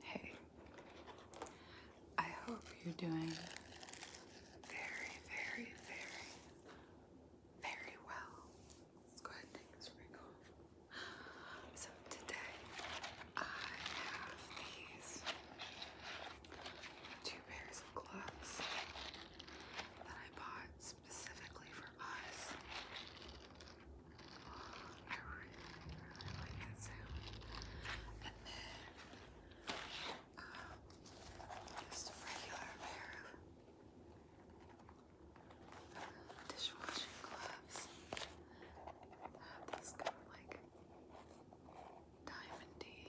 Hey, I hope you're doing very, very, very, very well. Let's go ahead and take this ring off. So today I have these two pairs of gloves that I bought specifically for us. I really, really like that sound. And then, just a regular pair of dishwashing gloves. I have these kind of like diamondy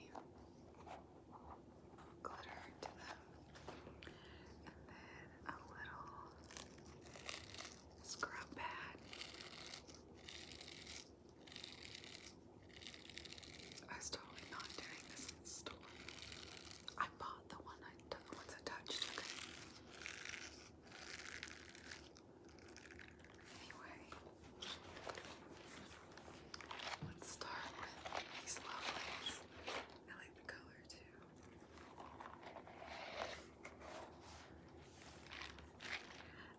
glitter to them. And then a little scrub pad, I was totally not doing this in the store. I bought the one I the ones I touched. Okay. Anyway, let's start with these lovelies. I like the color too.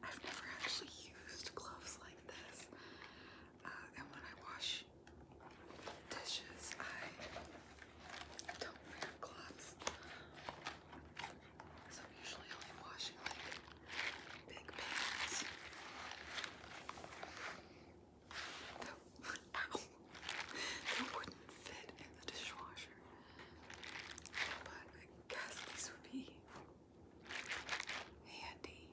I've never actually used gloves like this. Uh, and when I wash dishes, I don't wear gloves. So I'm usually only washing like big pans. that wouldn't fit in the dishwasher. But I guess these would be handy.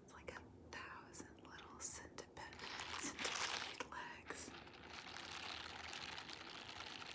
It's like a thousand little centipede, centipede legs.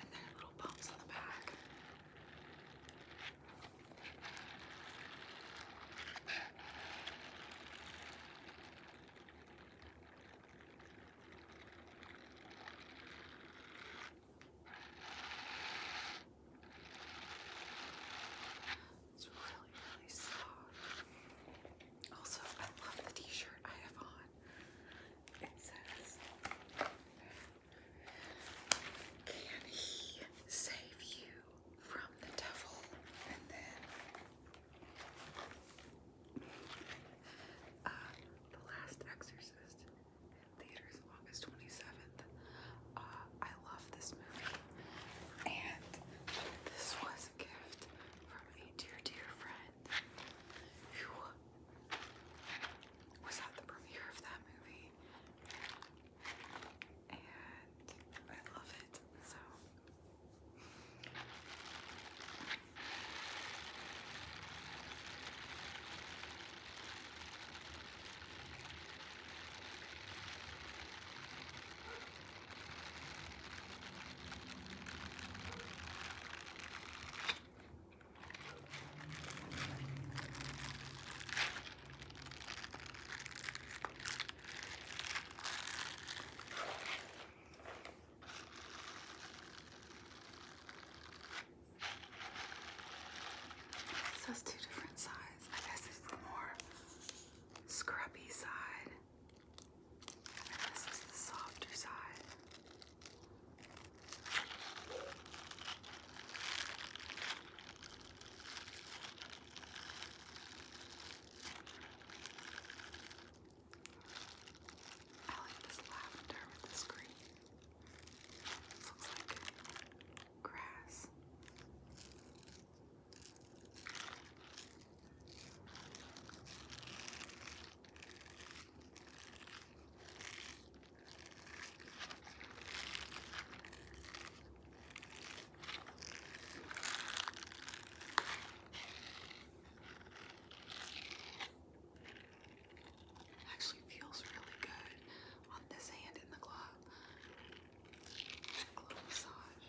And then little bumps on the back. It's really, really soft. Also, I love the t-shirt I have on. It says, Can he save you from the devil? And then, uh, The Last Exorcist in theaters August 27th. Uh, I love this movie. And this was gift from a dear, dear friend was at the premiere of that movie. And I love it, so. This has two different sides. I guess it's the more scrappy side. And this is the softer side. I like this lavender with this green. This looks like grass. Actually feels really good on this hand in the glove. Glove massage.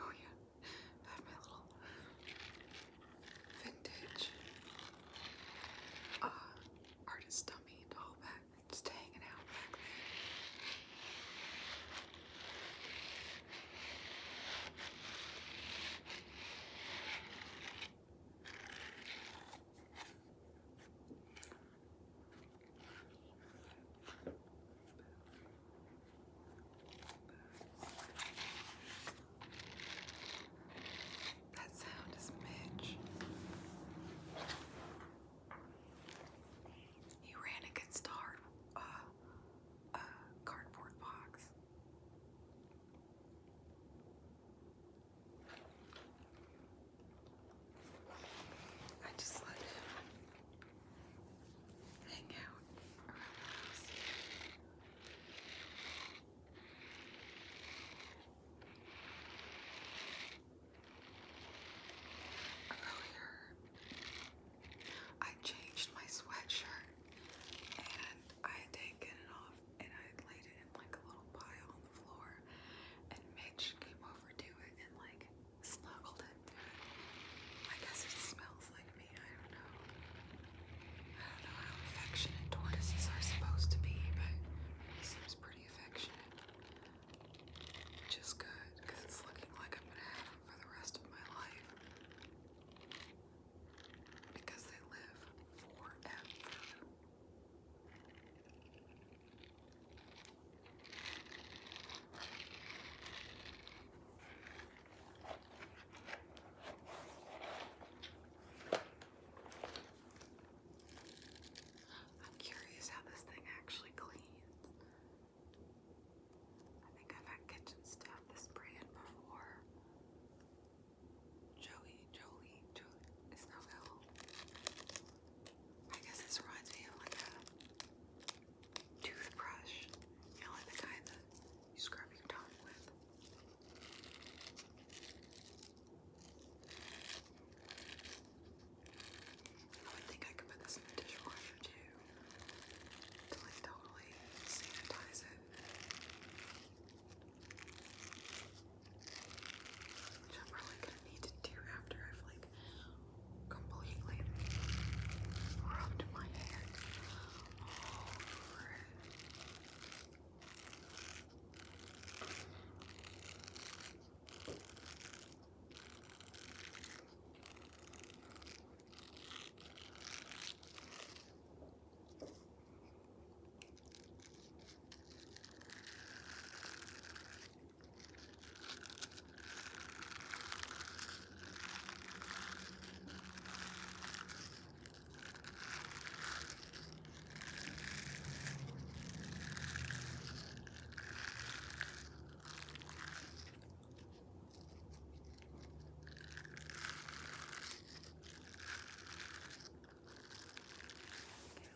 Oh yeah, I have my little vintage uh, artist dummy doll back, just hanging out back there. That sound is Midge. He ran against a hard, uh, cardboard box. I just let hang out Earlier, oh, I changed my sweatshirt and I had taken it off and I had laid it in like a little pile on the floor. And Mitch came over to it and like snuggled it. I guess it smells like me. I don't know. I don't know how affectionate tortoises are supposed to be, but he seems pretty affectionate. Which good, because it's looking like I'm going to have him for the rest of my life. Because they live forever. I'm curious how this thing actually cleans. I think I've had kitchen stuff this brand before. Joey, Jolie, Jolie, it's no guess this reminds me of like a toothbrush. You know, like the kind that you scrub your tongue with. Oh, I think I could put this in the dishwasher too. To like totally sanitize it. Which I'm probably gonna need to do after i like completely rubbed my hands all over it. Okay,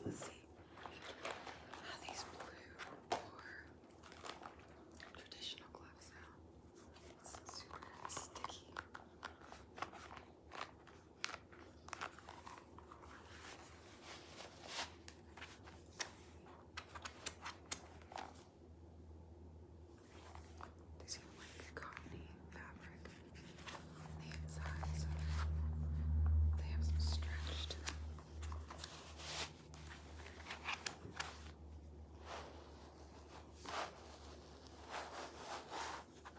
let's see how ah, these blue or traditional gloves now. It's super sticky. These are like cottony fabric the inside, they have some stretch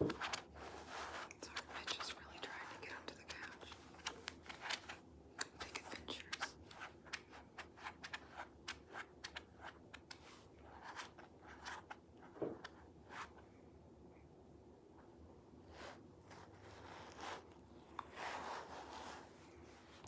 Sorry, Mitch is really trying to get onto the couch. Take adventures.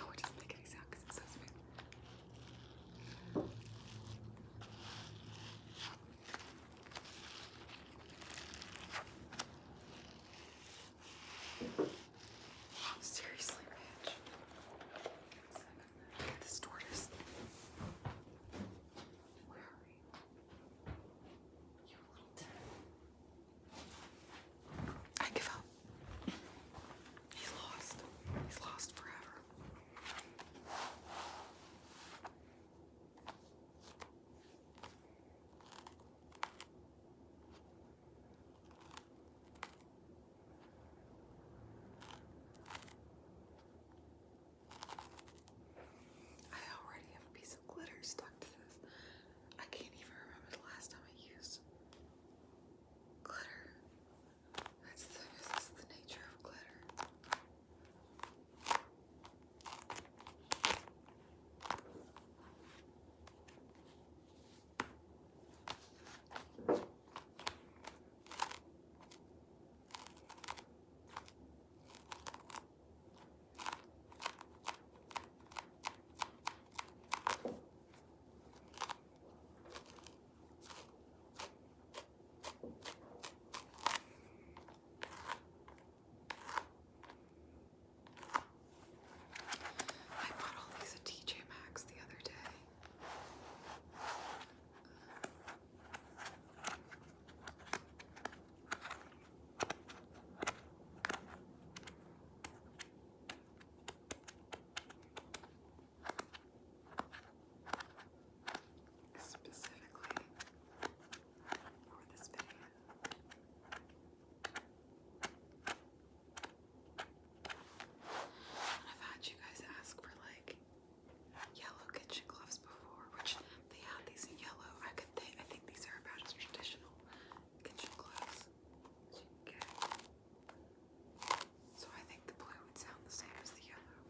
Oh, it doesn't make it sound because it's so smooth. Seriously, bitch. Look at this Where are we? You little I give up. He's lost. He's lost forever. I already have a piece of glitter stuck to this. I can't even remember the last time I used glitter. That's the, nature of glitter. I bought all these at TJ Maxx the other day. Um, specifically for this video. I've had you guys ask for like yellow kitchen gloves before, which they had these in yellow. I could I think these are about as traditional kitchen gloves. So So I think the blue would sound the same as the yellow.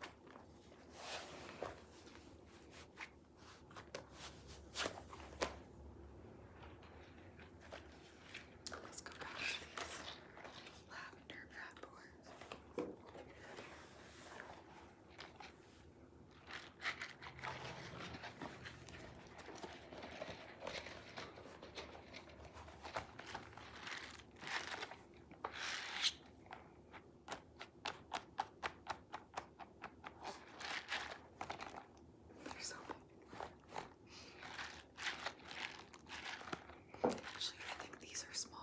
Let's go back to these lavender bad boys. They're so big. Actually, I think these are smalls.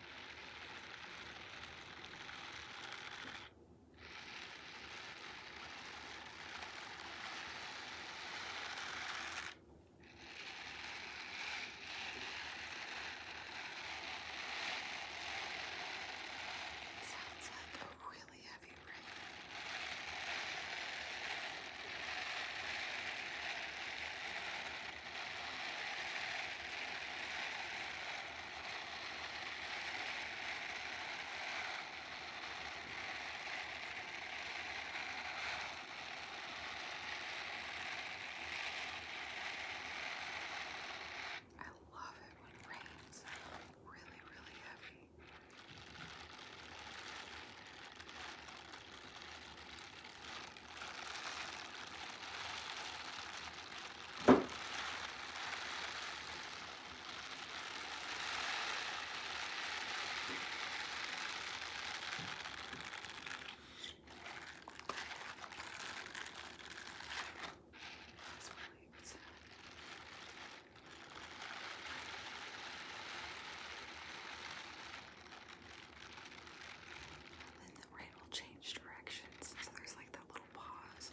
Sounds like a really heavy ring. I love it when it rains really, really heavy. And the rain will change directions, so there's like the that little pause.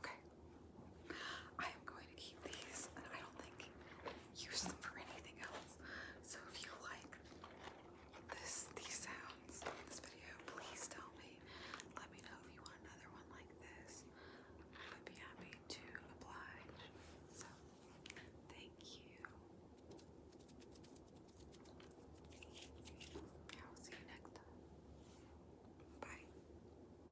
Okay. I am going to keep these and I don't think use them for anything else. So if you like this these sounds this video, please tell me. Let me know if you want another one like this. I would be happy to oblige. So thank you. I will see you next time. Bye.